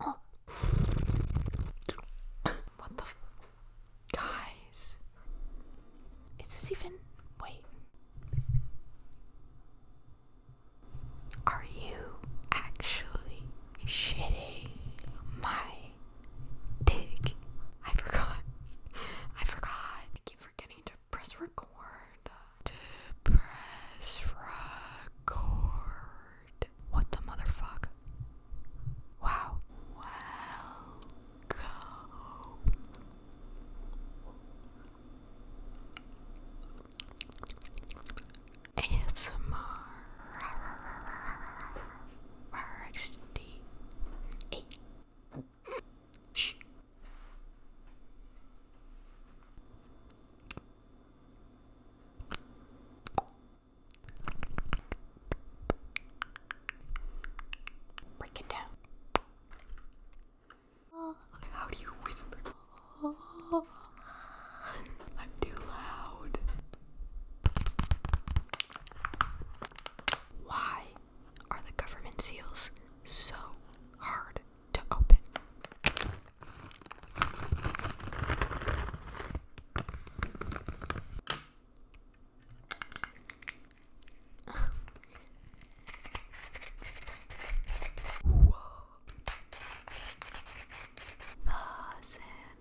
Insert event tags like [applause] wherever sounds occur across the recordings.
Oh. What the f guys? Is this even wait? Are you actually shitting my dick? I forgot. I forgot. I keep forgetting to press record to press record. What the motherfuck? Wow. Welcome. ASMR RXD. Hey. Shh. Break it down. Oh, how do you whisper? Oh, I'm too loud. Why are the government seals so hard to open.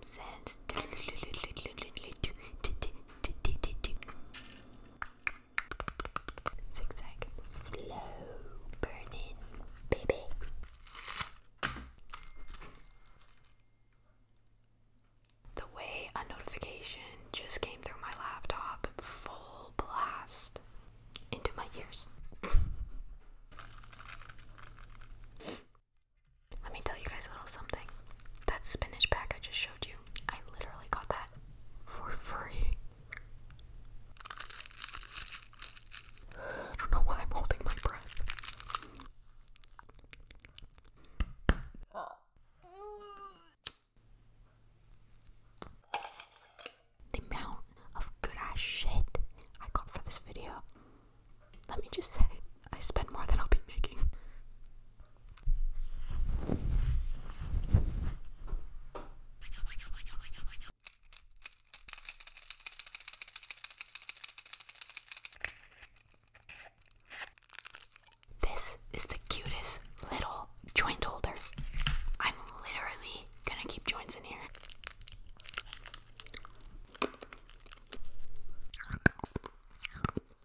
sense. Zigzag. Slow burning, baby. The way a notification just came through my laptop full blast into my ears. Let me tell you guys a little something. That spinach pack I just showed you, I literally got that for free. I don't know why I'm holding my breath. The amount of good ass shit I got for this video. Let me just say, I spent more than I'll be making. This is the cutest little joint holder. I'm literally gonna keep joints in here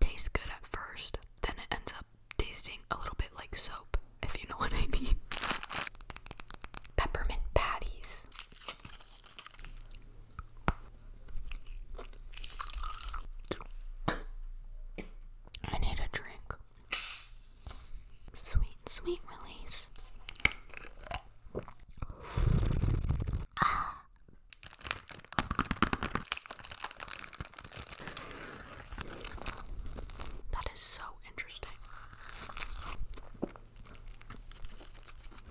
tastes good at first, then it ends up tasting a little bit like soap, if you know [laughs] what I mean. Peppermint patties. I need a drink. Sweet, sweet release. Ah. That is so interesting.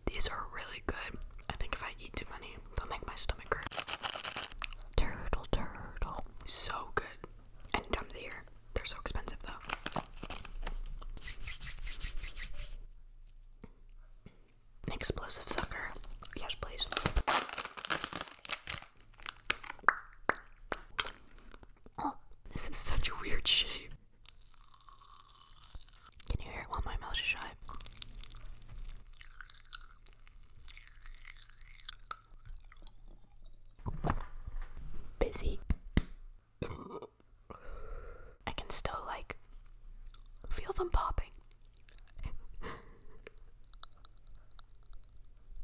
These are really good. I think if I eat too many, they'll make my stomach hurt. Turtle, turtle. So good. Any time of They're so expensive though. An explosive sucker. Yes, please. Oh, this is such a weird shape. Can you hear it while my mouth is shut? Busy. I can still like feel them popping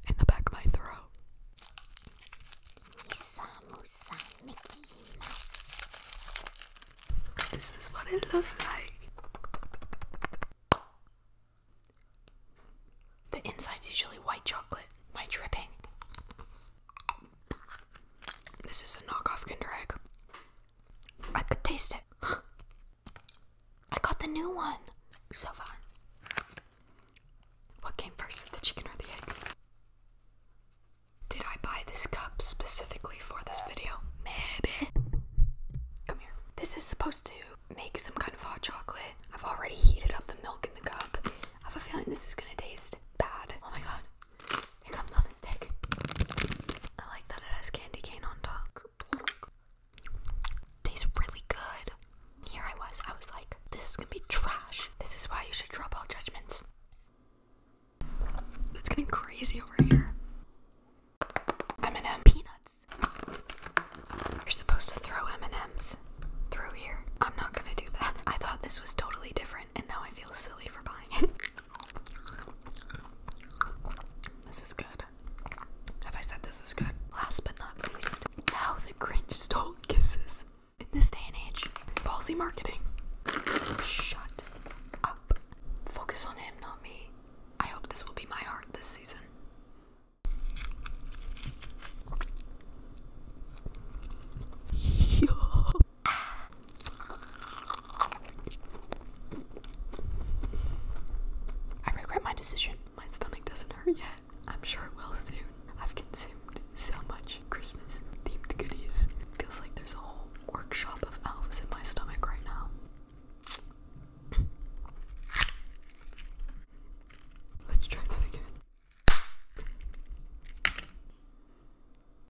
in the back of my throat. This is what it looks like. The inside's usually white chocolate, white dripping. This is a knockoff Kinder Egg. I could taste it. I got the new one. So fun. What came first, the chicken or the egg? Did I buy this cup specifically for this video? Maybe. Come here. This is supposed to make some kind of hot chocolate. I've already heated up the milk in the cup. I have a feeling this is gonna taste bad. Oh my god. It comes on a stick. I like that it has candy cane on top. Tastes really good. Here I was, I was like, this is gonna be trash. This is why you should drop all judgments. It's getting crazy over here. M&M peanuts. You're supposed to throw M&Ms through here. I'm not gonna do that. I thought this was totally different and now I feel silly for buying it. [laughs] This is good. Have I said this is good? Last but not least, how the Grinch stole kisses. In this day and age, ballsy marketing. Shut up. Focus on him, not me. I hope this will be my heart this season. [laughs] Yo. I regret my decision. My stomach doesn't hurt yet. I'm sure it will soon. I've consumed so much Christmas themed goodies. Feels like there's a whole workshop of elves in my stomach right now. Let's try that again.